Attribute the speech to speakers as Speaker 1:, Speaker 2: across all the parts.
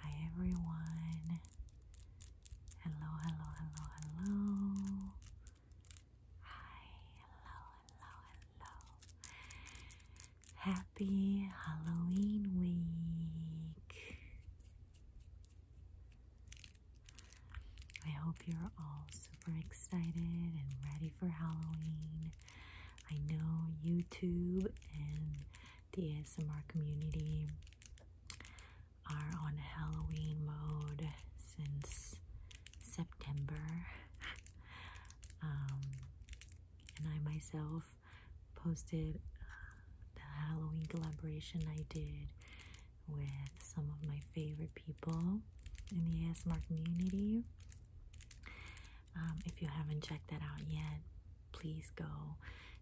Speaker 1: Hi everyone. Hello, hello, hello, hello. Hi, hello, hello, hello. Happy Halloween week. I hope you're all super excited and ready for Halloween. I know YouTube and the ASMR community are on Halloween mode since September. Um, and I myself posted uh, the Halloween collaboration I did with some of my favorite people in the ASMR community. Um, if you haven't checked that out yet, please go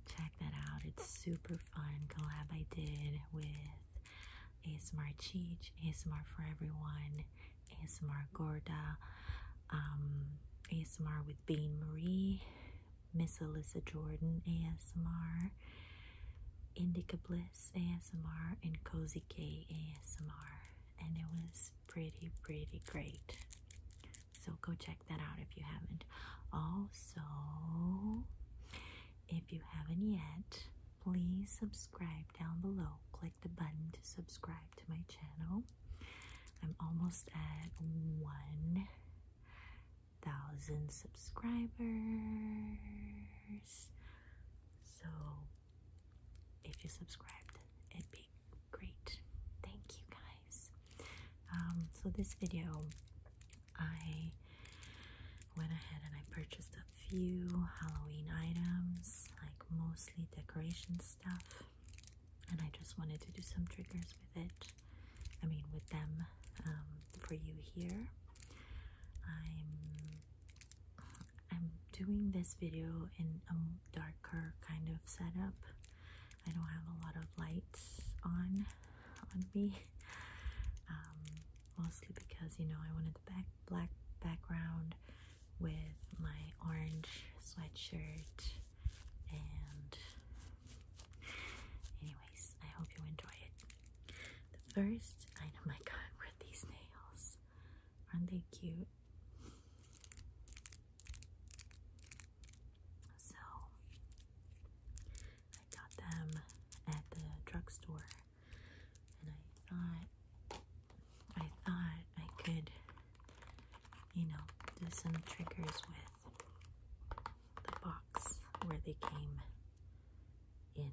Speaker 1: check that out. It's super fun collab I did with ASMR Cheech, ASMR for Everyone, ASMR Gorda, um, ASMR with Bain Marie, Miss Alyssa Jordan ASMR, Indica Bliss ASMR, and Cozy K ASMR. And it was pretty, pretty great. So go check that out if you haven't. Also, if you haven't yet, please subscribe down below. Click the button to subscribe to my channel. I'm almost at 1,000 subscribers. So if you subscribed. It'd be great. Thank you guys. Um, so this video, I went ahead and I purchased a few Halloween items, like mostly decoration stuff, and I just wanted to do some triggers with it. I mean, with them um, for you here. I'm I'm doing this video in a darker kind of setup. I don't have a lot of lights on on me, um, mostly because you know I wanted the back black background with my orange sweatshirt. And, anyways, I hope you enjoy it. The first item I got were these nails. Aren't they cute? So I got them at the drugstore and I thought I thought I could you know do some triggers with the box where they came in.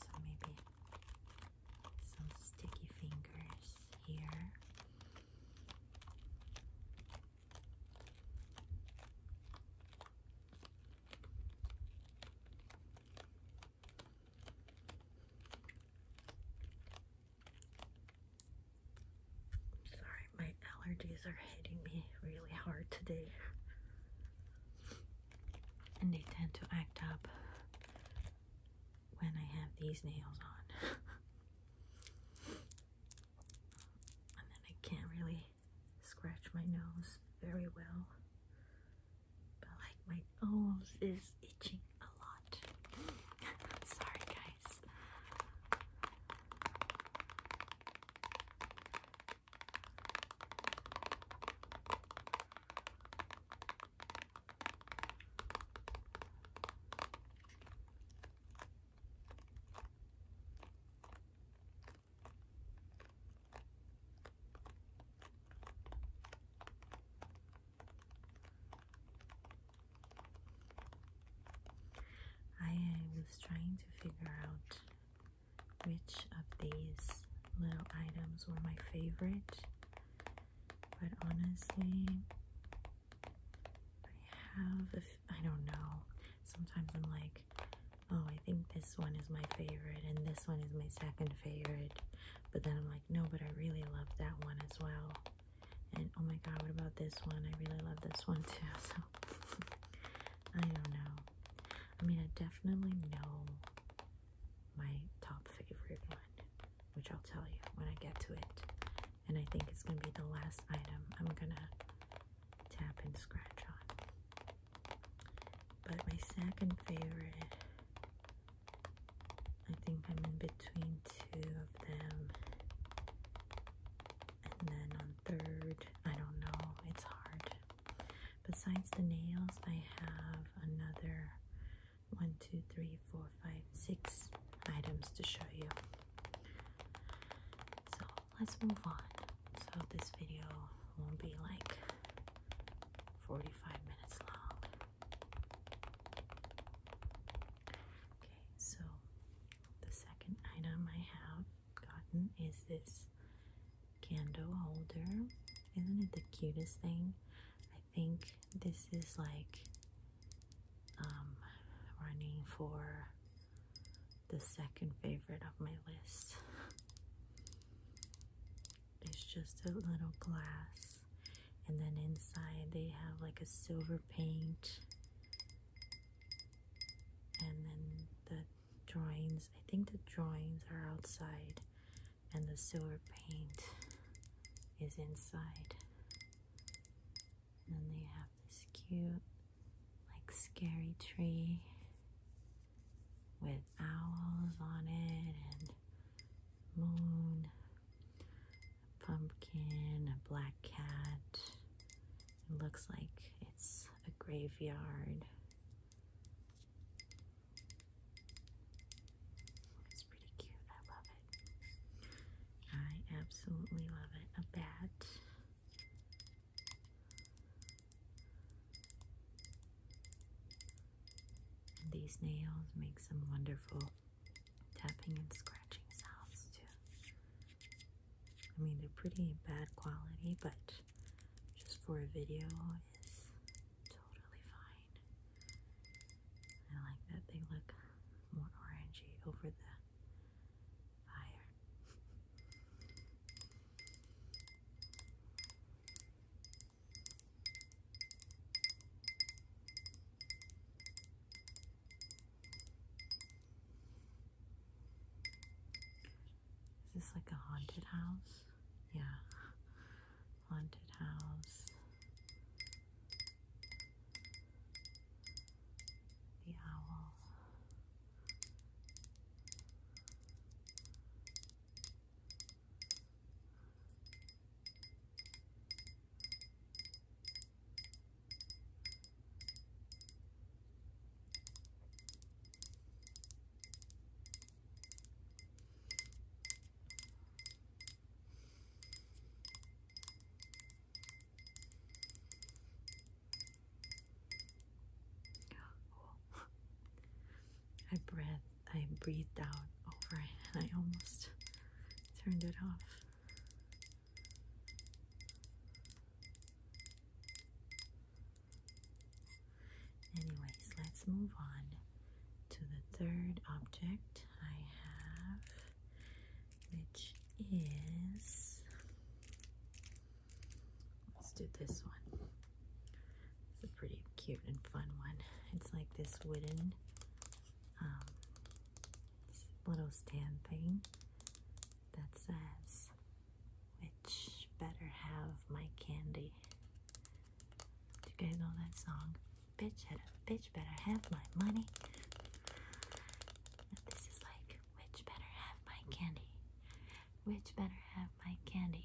Speaker 1: So maybe some sticky fingers here. sorry, my allergies are hitting me really hard today, and they tend to act up when I have these nails on. and then I can't really scratch my nose very well, but like my nose is itching a lot. Sorry, guys. I uh, was trying to figure out which of these little items were my favorite, but honestly, I have, i f I don't know, sometimes I'm like, oh, I think this one is my favorite, and this one is my second favorite, but then I'm like, no, but I really love that one as well, and oh my god, what about this one? I really love this one too, so I don't know. I mean, I definitely know my top favorite one, which I'll tell you when I get to it. And I think it's going to be the last item I'm going to tap and scratch on. But my second favorite, I think I'm in between two of them. And then on third, I don't know, it's hard. Besides the nails, I have another one, two, three, four, five, six items to show you. So let's move on. So this video won't be like 45 minutes long. Okay, so the second item I have gotten is this candle holder. Isn't it the cutest thing? I think this is like um, running for the second favorite of my list. It's just a little glass, and then inside they have like a silver paint and then the drawings i think the drawings are outside and the silver paint is inside and they have this cute like scary tree with owls on it and moon pumpkin a black cat it looks like it's a graveyard. It's pretty cute. I love it. I absolutely love it. A bat. these nails make some wonderful tapping and scratching sounds too. I mean, they're pretty bad quality, but just for a video is totally fine. I like that they look more orangey over the fire. Is this like a haunted house? Yeah. Haunted house. The owl. I breathed, I breathed out over it, and I almost turned it off. Anyways, let's move on to the third object I have, which is let's do this one. It's a pretty cute and fun one. It's like this wooden um, little stand thing that says, Which better have my candy? Do you guys know that song? Bitch had a bitch better have my money. this is like, Which better have my candy? Which better have my candy?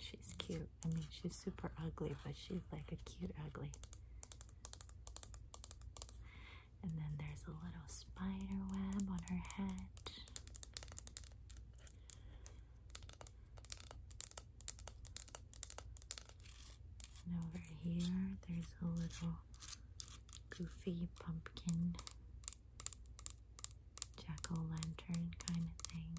Speaker 1: She's cute. I mean, she's super ugly, but she's like a cute ugly. And then there's a little spider web on her head. And over here, there's a little goofy pumpkin jack o' lantern kind of thing.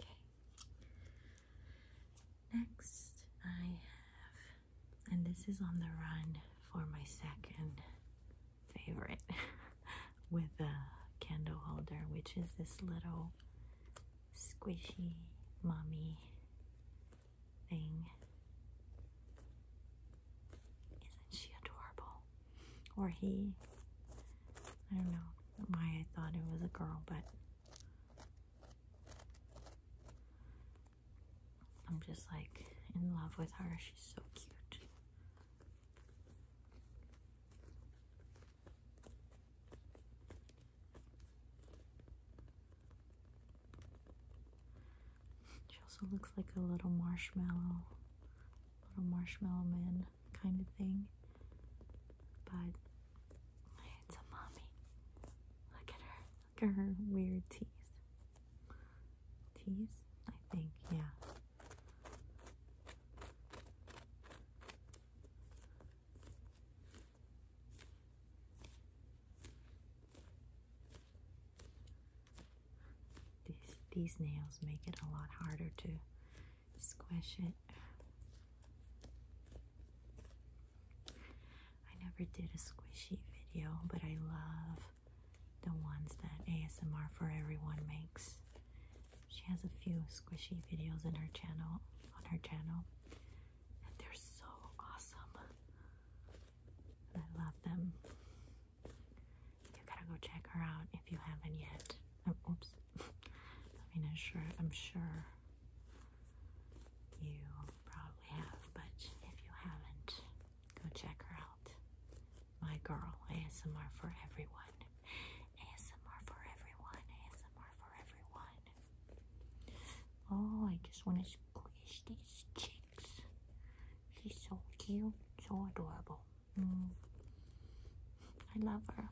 Speaker 1: Okay. Next, I have, and this is on the run for my second favorite with a candle holder, which is this little squishy mommy thing. Isn't she adorable? Or he? I don't know why I thought it was a girl, but I'm just like in love with her. She's so cute. She also looks like a little marshmallow, little marshmallow man kind of thing. But it's a mommy. Look at her. Look at her weird teeth. Teeth? I think, yeah. This, these nails make it a lot harder to squish it. I never did a squishy video, but I love the ones that ASMR for Everyone makes. She has a few squishy videos in her channel on her channel, they're so awesome. I love them. You gotta go check her out if you haven't yet. Oh, oops. I mean, I'm sure. I'm sure you probably have, but if you haven't, go check her out my girl. ASMR for everyone. ASMR for everyone. ASMR for everyone. Oh, I just want to squeeze these cheeks. She's so cute, so adorable. Mm. I love her.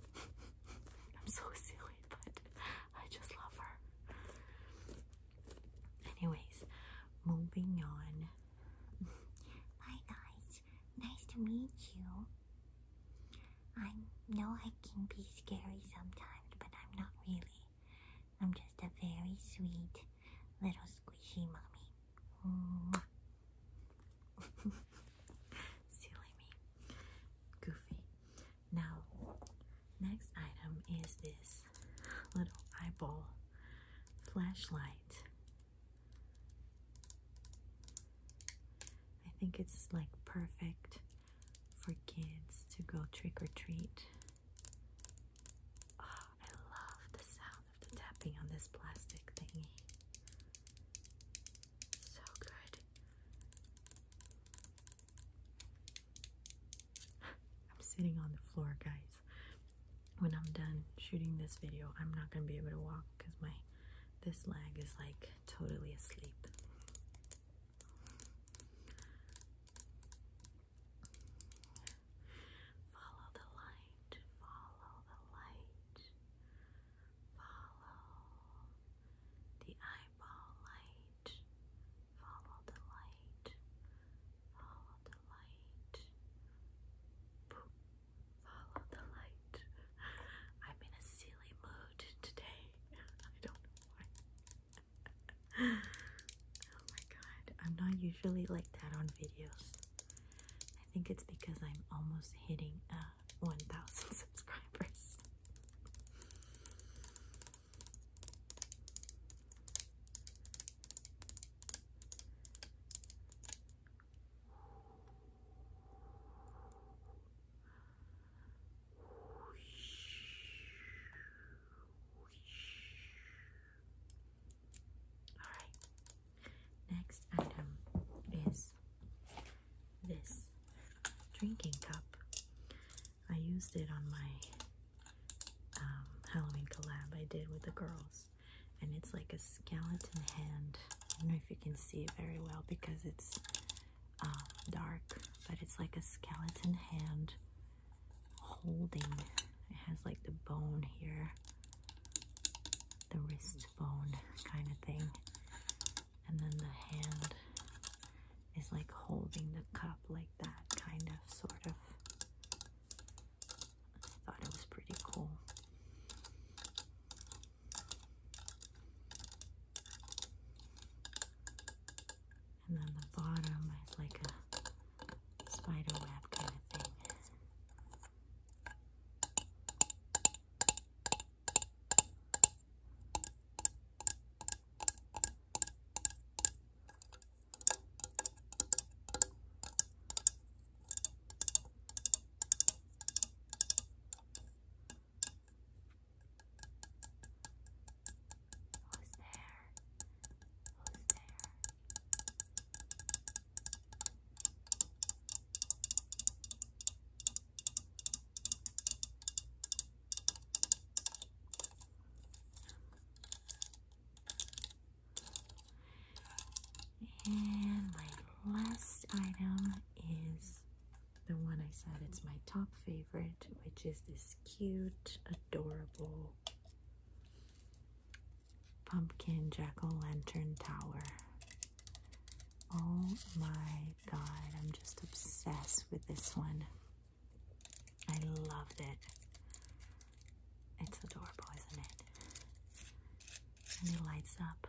Speaker 1: I'm so silly, but I just love her. Anyways, moving on. Hi guys, nice to meet you. I know I can be scary sometimes, but I'm not really. I'm just a very sweet little squishy mommy. Silly me. Goofy. Now, next item is this little eyeball flashlight I think it's like perfect for kids to go trick or treat. Oh, I love the sound of the tapping on this plastic thingy. So good. I'm sitting on the floor, guys when I'm done shooting this video, I'm not going to be able to walk because my this leg is like totally asleep. Follow the light, follow the light, follow the eyeball light, follow the light, Follow the light. Follow the light. I'm in a silly mood today. I don't know why. oh my god. I'm not usually like that on videos. I think it's because I'm almost hitting uh 1000 subscribers. All right. Next item is this drinking cup. I used it on my um, Halloween collab I did with the girls and it's like a skeleton hand. I don't know if you can see very well because it's um, dark, but it's like a skeleton hand holding. It has like the bone here, the wrist bone kind of thing, and then the hand is like holding the cup like that, kind of, sort of. Thought it was pretty cool. And then the bottom is like a spider kind of thing. Who's there? Who's there? Who's there? And my last item is the one I said it's my top favorite, which is this cute, adorable pumpkin jack-o'-lantern tower. Oh my god, I'm just obsessed with this one. I loved it. It's adorable, isn't it? And it lights up.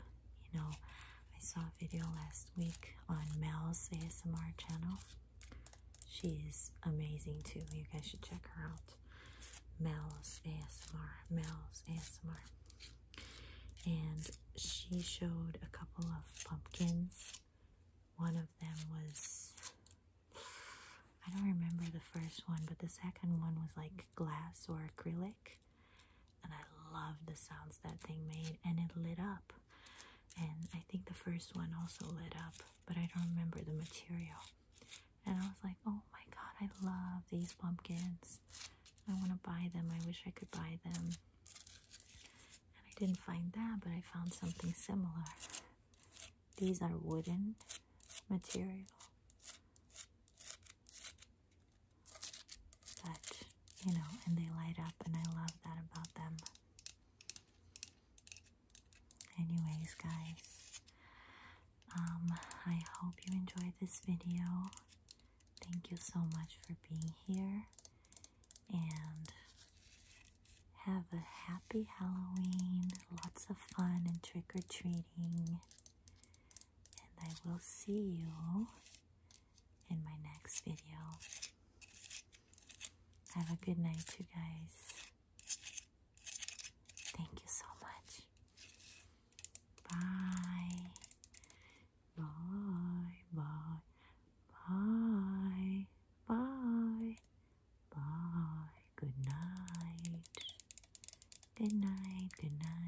Speaker 1: You know, I saw a video last week on Mel's ASMR channel. She's amazing too. You guys should check her out. Mel's ASMR. Mel's ASMR. And she showed a couple of pumpkins. One of them was I don't remember the first one, but the second one was like glass or acrylic. And I loved the sounds that thing made, and it lit up. And I think the first one also lit up, but I don't remember the material. And I was like, oh my god, I love these pumpkins. I want to buy them. I wish I could buy them. And I didn't find that, but I found something similar. These are wooden material but you know and they light up and I love that about them anyways guys um, I hope you enjoyed this video thank you so much for being here and have a happy Halloween, lots of fun and trick or treating. And I will see you in my next video. Have a good night, you guys. Thank you so much. Bye. Bye. Bye. Bye. Bye. Bye. Good night. Good night. Good night.